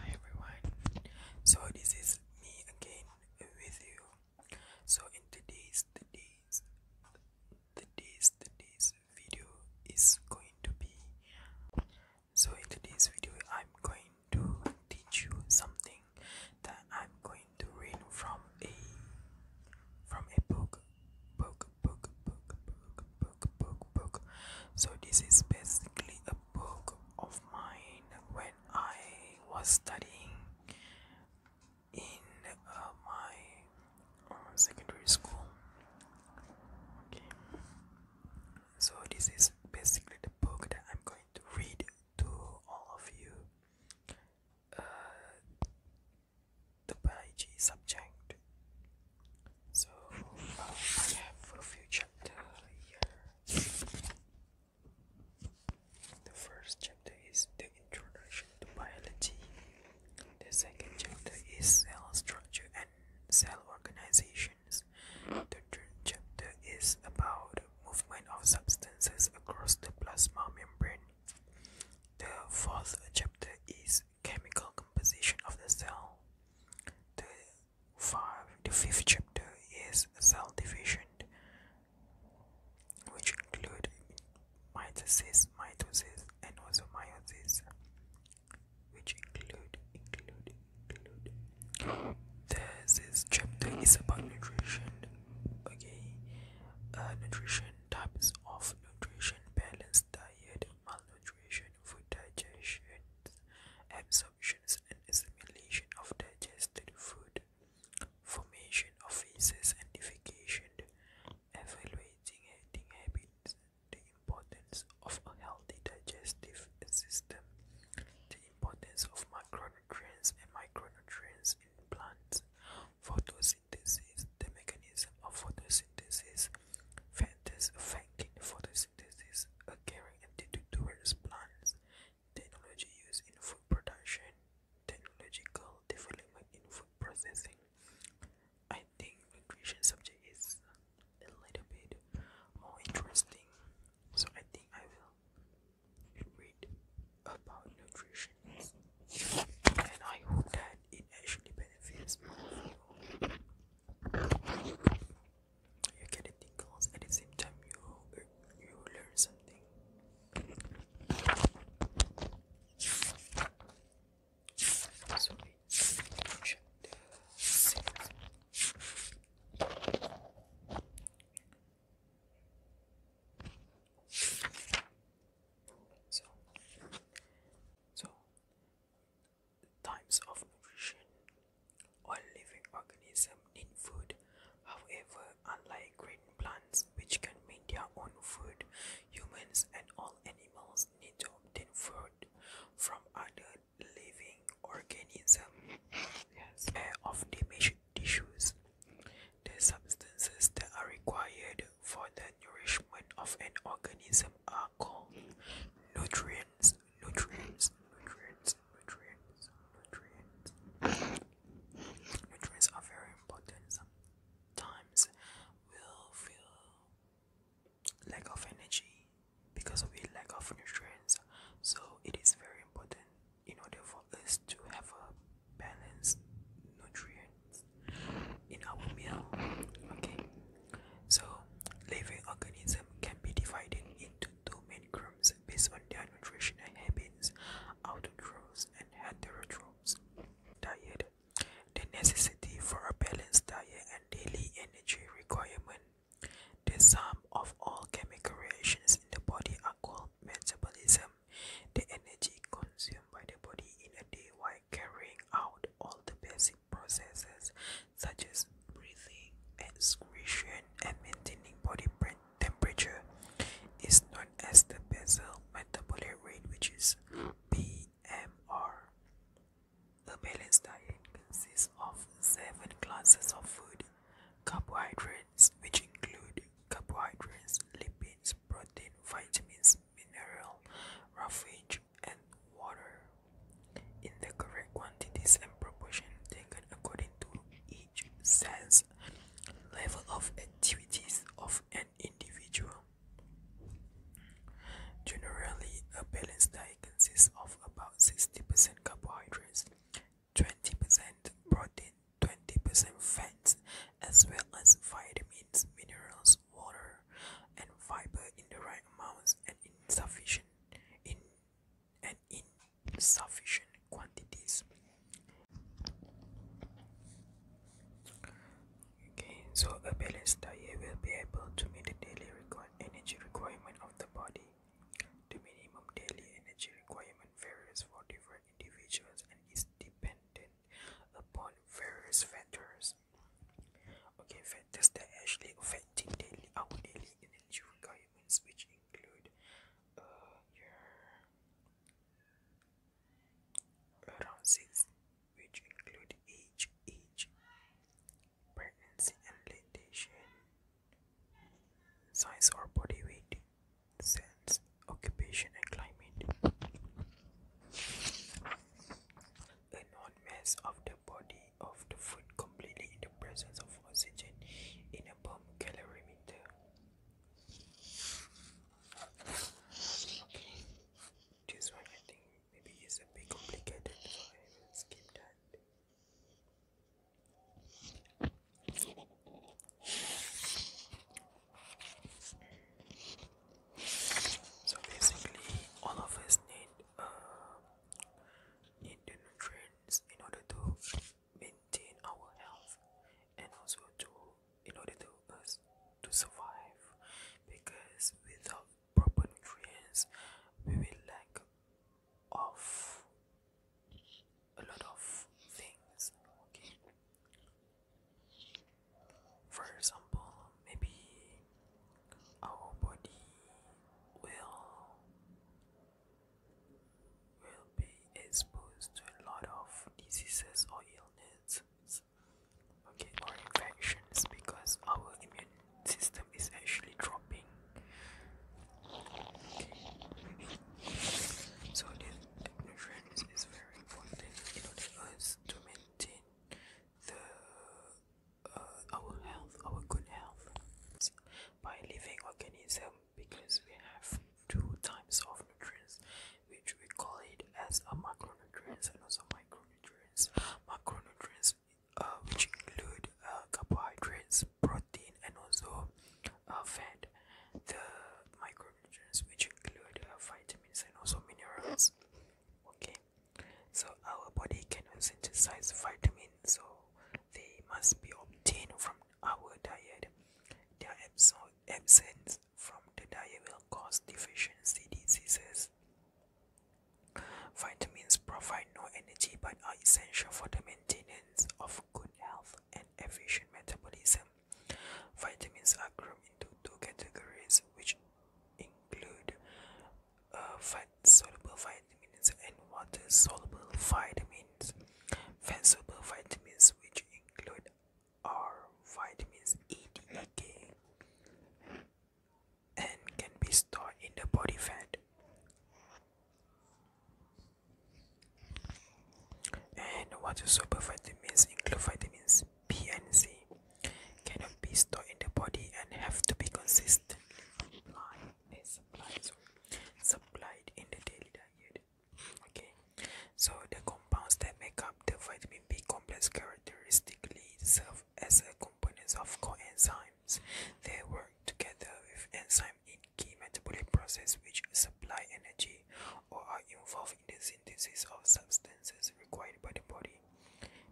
Hi everyone, so this is me again with you. So in today's today's today's today's video is going to be so in today's video I'm going to teach you something that I'm going to read from a from a book book book book book book book book so this is basically a book of mine when I was studying in uh, my uh, secondary school. Okay, so this is basically the book that I'm going to read to all of you. Uh, the biology subject so I have for future chapter here. The first chapter is the introduction to biology. The second chapter is cell structure and cell organizations. The third chapter is about movement of substances across the plasma membrane. The fourth chapter is chemical composition of the cell. The five, the fifth chapter is cell-division, which include mitosis, mitosis, and also meiosis, which include include include. This is chapter is about nutrition. Okay, uh, nutrition types of nutrition, balanced diet, malnutrition, food digestion, absorption consumptions and assimilation of digested food, formation of feces and defecation, evaluating eating habits, the importance of a healthy digestive system, the importance of macronutrients and micronutrients in plants, photosynthesis, the mechanism of photosynthesis, factors affecting photosynthesis, a having attitude towards plants, technology used in food production, technological development in food processing. I think nutrition subject is a little bit more interesting, so I think I will read about nutrition, and I hope that it actually benefits more you get it tingles at the same time you you learn something so so types of nutrition. All living organisms need food. However, unlike green plants which can make their own food, humans and all animals need to obtain food from other living organisms. Yes. Pair of damaged tissues. The substances that are required for the nourishment of an organism are called nutrients nutrients, nutrients, nutrients, nutrients, nutrients. are very important. Sometimes we feel lack of energy because of a lack of nutrients. So it is very important in order for us to have a balanced nutrients in our meal. Okay. So, living organisms can be divided into two main groups based on their nutritional habits, autotrophs and heterotrophs. Diet The necessity for a balanced diet and daily energy requirement. The sum of all chemical reactions in the body are called metabolism. The energy consumed by the body in a day while carrying out all the basic processes such as breathing, excretion, and maintaining body temperature is known as the basal metabolic rate, which is BMR. A balanced diet consists of seven classes of food carbohydrates, which include carbohydrates, lipids, protein, vitamins, mineral, roughage, and water in the correct quantities and proportion taken according to each sense level of activities of an individual. Generally, a balanced diet consists of about 60% carbohydrates, 20% protein, 20% fats, as well as vitamins, minerals, water, and fiber in the right amounts and in sufficient in and in sufficient quantities okay so a balanced diet will be able to meet the daily energy requirement of the body the minimum daily energy requirement varies for different individuals and is dependent upon various factors Okay, fantastic. Actually, affecting daily our daily energy requirements, which include uh, your around six, which include age, age, pregnancy and lactation, size or body weight, sense, occupation and climate. and known mass of the body of the food completely in the presence of oxygen in a bomb calorimeter. Okay, this one I think maybe is a bit complicated, so I will skip that. So basically, all of us need uh, need the in order to maintain our health and also to in order to us to survive because without proper nutrients we will lack of a lot of things okay for example maybe our body will will be exposed to a lot of diseases or illnesses okay or infections because our immune system is actually dropping okay. so this is very important in us to maintain the uh, our health, our good health. By living organism, because we have two types of nutrients, which we call it as a macronutrients and also micronutrients. Macronutrients, uh, which include uh, carbohydrates, protein, and also uh, fat. The micronutrients, which include uh, vitamins and also minerals. Okay, so our body can synthesize vitamins, so they must be obtained from our diet. Their absence from the diet will cause deficiency diseases. Vitamins provide no energy but are essential for the maintenance of good health and efficient metabolism. Vitamins are grouped into two categories, which include uh, fat soluble vitamins and water soluble vitamins. Fat soluble vitamins, which include are vitamins E, D, and K, and can be stored in the body fat. And water soluble vitamins include vitamins B and C, cannot be stored in the body and have to be consistent so supplied in the daily diet okay so the compounds that make up the vitamin b complex characteristically serve as a components of coenzymes they work together with enzyme in key metabolic process which supply energy or are involved in the synthesis of substances required by the body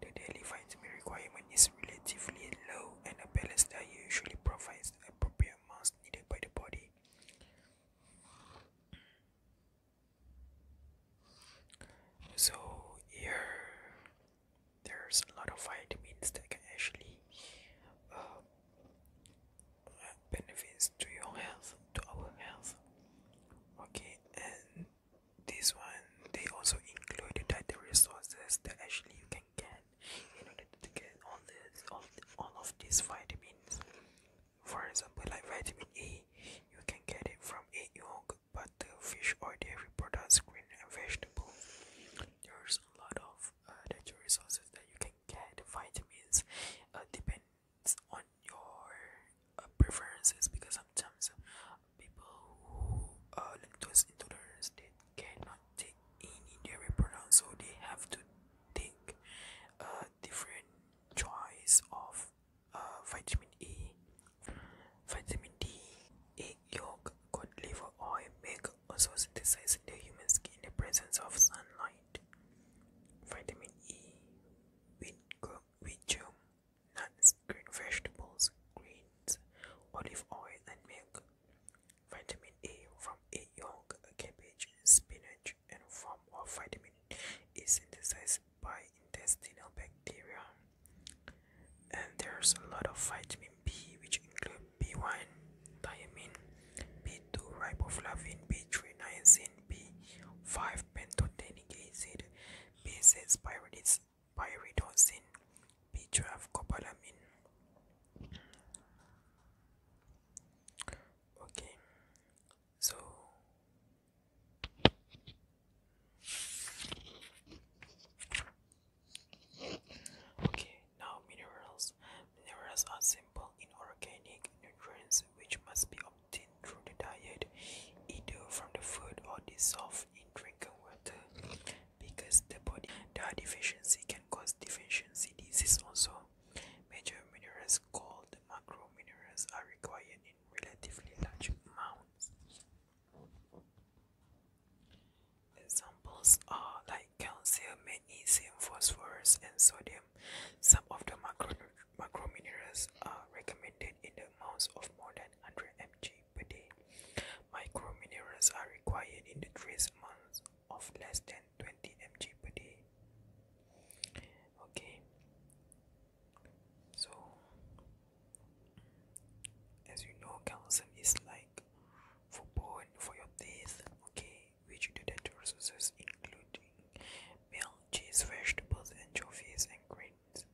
the daily vitamin requirement is relatively low, and a balanced diet usually provides appropriate amounts needed by the body. So here, there's a lot of vitamins that can actually uh, benefits to your health, to our health. Okay, and this one they also included that the resources that actually you can get in order to get all this all, all of these vitamins for example like vitamin A you can get it from egg yolk butter fish or dairy products green and vegetable there's a lot of natural uh, resources that you can get vitamins uh, depends on your uh, preferences because sometimes people who are lactose intolerant they cannot take any dairy products so they have to take a different choice of uh, vitamin E, vitamin D, egg yolk, cod liver oil, milk also synthesized in the human skin in the presence of sunlight. Vitamin E, wheat germ, wheat germ nuts, green vegetables, greens, olive oil and milk. Vitamin A from a young cabbage, spinach, and form of vitamin is synthesized by intestinal bacteria. And there's a lot of vitamin B, which include B1, thiamine, B2, riboflavin, B3, niacin, B5, pantothenic acid, B6, pyridoxine pyridoxine, B12 cobalamin. Okay, so okay now minerals. Minerals are simple inorganic nutrients which must be obtained through the diet, either from the food or dissolved in drinking water because the body that deficiency can cause deficiency disease also major minerals called the macro minerals are required in relatively large amounts examples are like calcium magnesium phosphorus and sodium some of the macro macro minerals are recommended in the amounts of more than 100 mg per day. Microminerals are required in the trace amounts of less than 20 mg per day. Okay, so as you know, calcium is like for bone for your teeth. Okay, which dietary sources including milk, cheese, vegetables, anchovies, and grains.